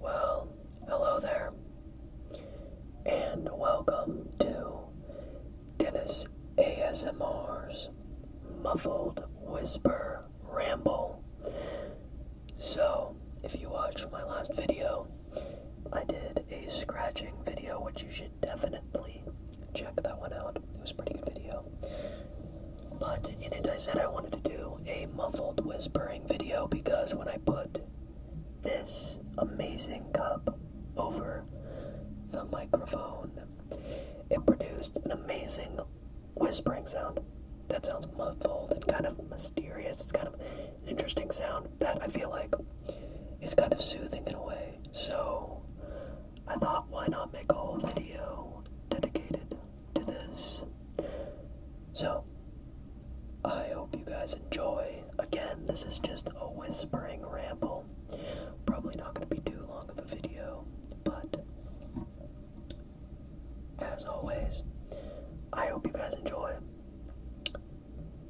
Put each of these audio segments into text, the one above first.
Well, hello there, and welcome to Dennis ASMR's Muffled Whisper Ramble. So, if you watched my last video, I did a scratching video, which you should definitely check that one out. It was pretty good video. But in it, I said I wanted to do a muffled whispering video because when I put this amazing cup over the microphone, it produced an amazing whispering sound that sounds muffled and kind of mysterious. It's kind of an interesting sound that I feel like is kind of soothing in a way. So I thought, why not make a whole video dedicated to this? So, I hope you guys enjoy. Again, this is just a whispering ramble. Probably not going to be too long of a video, but as always, I hope you guys enjoy.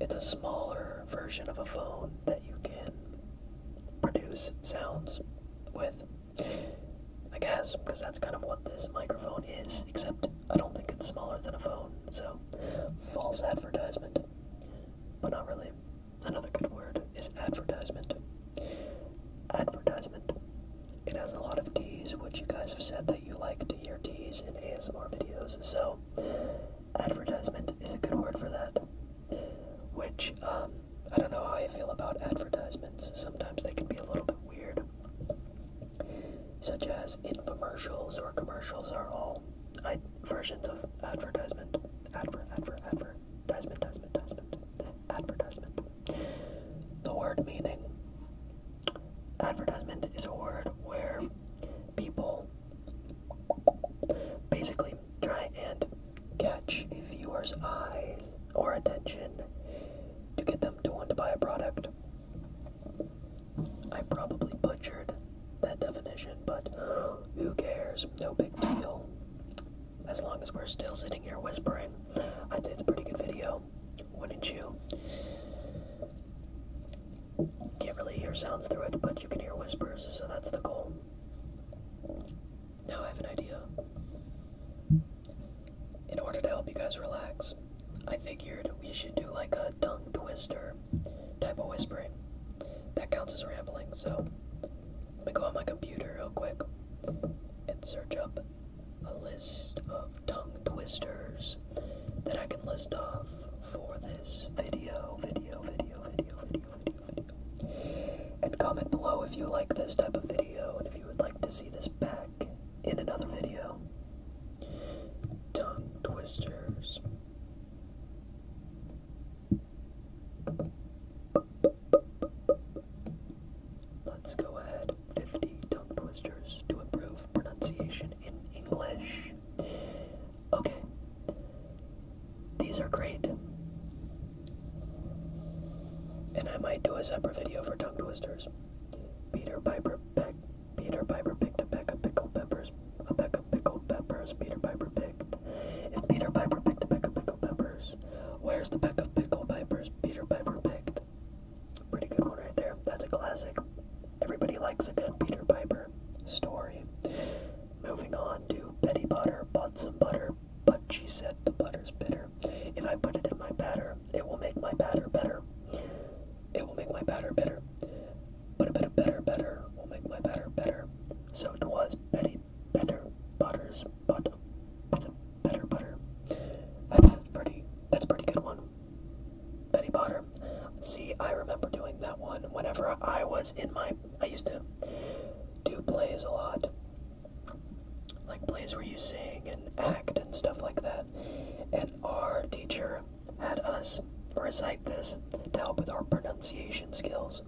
it's a smaller version of a phone that you can produce sounds with. I guess, because that's kind of what this microphone is, except I don't think it's smaller than a phone, so false advertisement. But not really. Another good word is advertisement. Advertisement. It has a lot of T's, which you guys have said that you like to hear T's in ASMR videos, so advertisement is a good word for that. Which, um, I don't know how I feel about advertisements. Sometimes they can be a little bit weird. Such as infomercials or commercials are all I, versions of advertisement. Adver, adver, adver, advertisement, advertisement, advertisement. The word meaning. Advertisement is a word where people basically try and catch a viewer's eyes or attention to get them to want to buy a product. I probably butchered that definition, but who cares? No big deal. As long as we're still sitting here whispering, I'd say it's a pretty good video, wouldn't you? Can't really hear sounds through it, but you can hear whispers, so that's the goal. Now I have an idea. In order to help you guys relax, I figured we should do like a tongue twister type of whispering. That counts as rambling, so let me go on my computer real quick and search up a list of tongue twisters that I can list off for this video, video, video, video, video, video, video. And comment below if you like this type of video and if you would like to see this back in another video. Tongue twisters. Let's go ahead. 50 tongue twisters to improve pronunciation in English. Okay. These are great. And I might do a separate video for tongue twisters. Peter Piper peck Peter Piper picked a peck of pickled peppers. A peck of pickled peppers. Peter Piper picked. If Peter Piper picked a peck of pickled peppers, where's the peck of pickled peppers Peter Piper picked? Pretty good one right there. That's a classic. Everybody likes a good Peter Piper story. Moving on to Betty Butter bought some butter, but she said the butter's bitter. If I put it in my batter, it will make my batter better. It will make my batter better, But a bit of better better will make my batter better. So it was Betty Better Butters but but better butter. That's pretty that's a pretty good one. Betty Potter. See, I remember doing that one whenever I was in my. I used to do plays a lot. Like plays where you sing and act and stuff like that. And our teacher had us recite this to help with our pronunciation skills.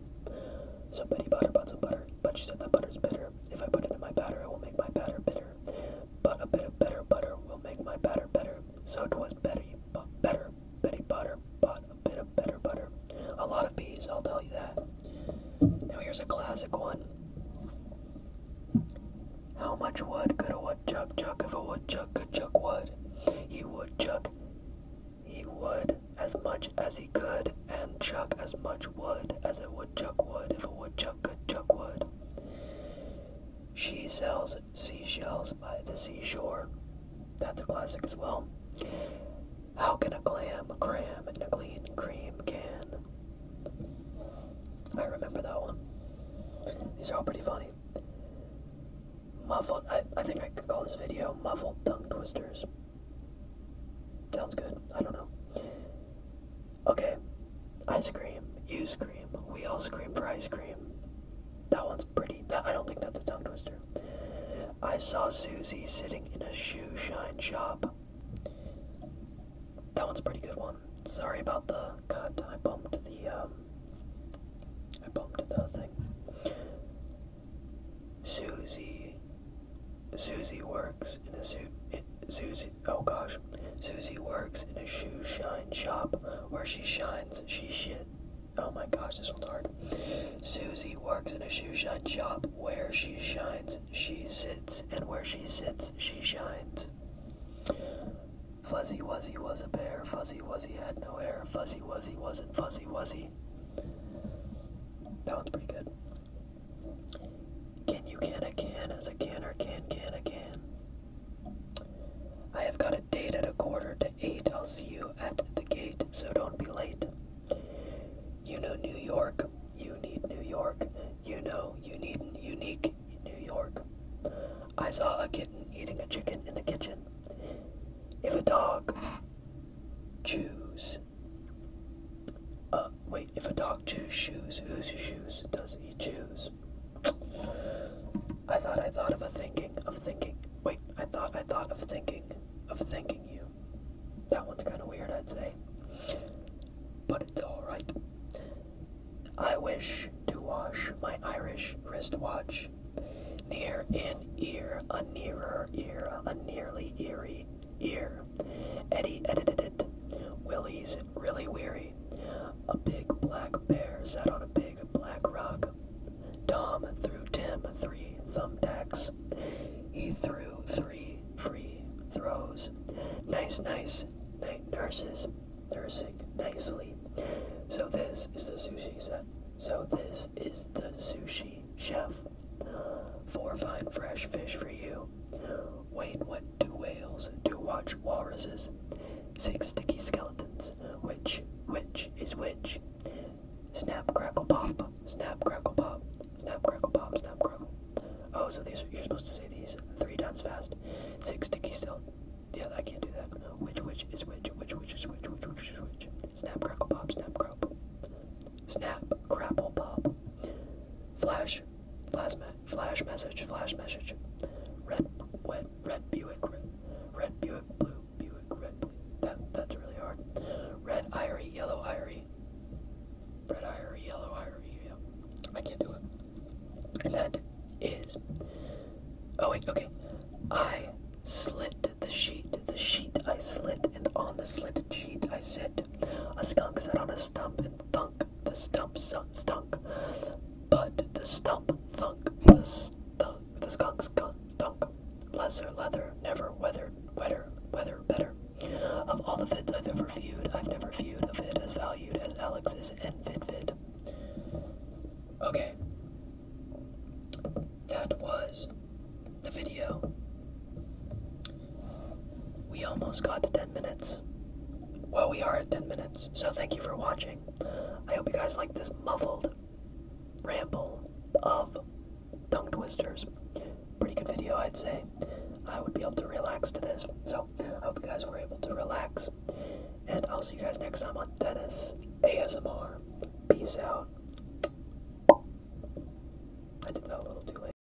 So, Betty Potter bought some butter, but she said that butter's bitter. If I put it in my batter, it will make my batter bitter. But a bit of better butter will make my batter better. So 'twas Betty, but better Betty Butter bought a bit of better butter. A lot of bees, I'll tell you that. Now here's a classic one. How much wood could a woodchuck chuck if a woodchuck could chuck wood? He would chuck, he would as much as he could, and chuck as much wood as a woodchuck would if a woodchuck could chuck wood. She sells seashells by the seashore. That's a classic as well. How can a clam cram and a clean cream can? I remember that one. These are all pretty funny. Muffled, I, I think I could call this video Muffled Tongue Twisters. Sounds good. I don't know. Okay, ice cream, you cream. we all scream for ice cream. That one's pretty. I don't think that's a tongue twister. I saw Susie sitting in a shoe shine shop. That one's a pretty good one. Sorry about the cut. I bumped the um I bumped the thing. Susie Susie works in a suit Susie Oh gosh. Susie works in a shoe shine shop. Where she shines, she shit. Oh my gosh, this one's hard. Susie works in a shoe shine shop. Where she shines, she sits. And where she sits, she shines. Fuzzy Wuzzy was a bear. Fuzzy Wuzzy had no hair. Fuzzy Wuzzy wasn't Fuzzy Wuzzy. That one's pretty good. Can you can a can as a can or can can a can? I have got a date at a quarter to eight. I'll see you at the gate, so don't be late. You know New York. You need New York. You know you need unique New York. I saw a kitten eating a chicken in the kitchen. If a dog chews, uh, if a dog chews shoes, whose shoes does he choose? I thought I thought of a thinking, of thinking. Wait, I thought I thought of thinking, of thinking you. That one's kind of weird, I'd say. But it's alright. I wish to wash my Irish wristwatch. Near an ear, a nearer ear, a nearly eerie ear. Eddie edited it. Willie's really weary story. A big black bear sat on a big black rock. Tom threw Tim three thumbtacks. He threw three free throws. Nice, nice. Night nurses nursing nicely. So this is the sushi set. So this is the sushi chef. Four fine fresh fish for you. Whale. Wade went to Wales to watch walruses, six sticky skeletons, which, which is which. Snap, crackle, pop, snap, crackle, pop, snap, crackle, pop, snap, crackle. Oh, so these are, you're supposed to say these three times fast. Six sticky still. Yeah, I can't do that. Which, which is which, which, which is which, which, which is which. Snap, crackle, pop, snap, crop. Snap, crapple, pop. Flash, Flash, flash message, flash message. Red, red, red Buick, red, red Buick, blue Buick, red. Blue. That that's really hard. Red Irie, yellow Irie, red Irie, yellow Irie. Yeah. I can't do it. And that is. Oh wait, okay. I slit the sheet, the sheet I slit, and on the slitted sheet I sit. A skunk sat on a stump and thunk. The stump stunk. But the stump thunk. The, stunk, the skunk stunk. Lesser leather, never weathered, wetter, weather better. Of all the vids I've ever viewed, I've never viewed a vid as valued as Alex's and vid. Okay. That was the video. We almost got to 10 minutes. Well, we are at 10 minutes, so thank you for watching. I hope you guys like this muffled ramble of tongue twisters. Pretty good video, I'd say. I would be able to relax to this, so I hope you guys were able to relax. And I'll see you guys next time on Dennis ASMR. Peace out. I did that a little too late.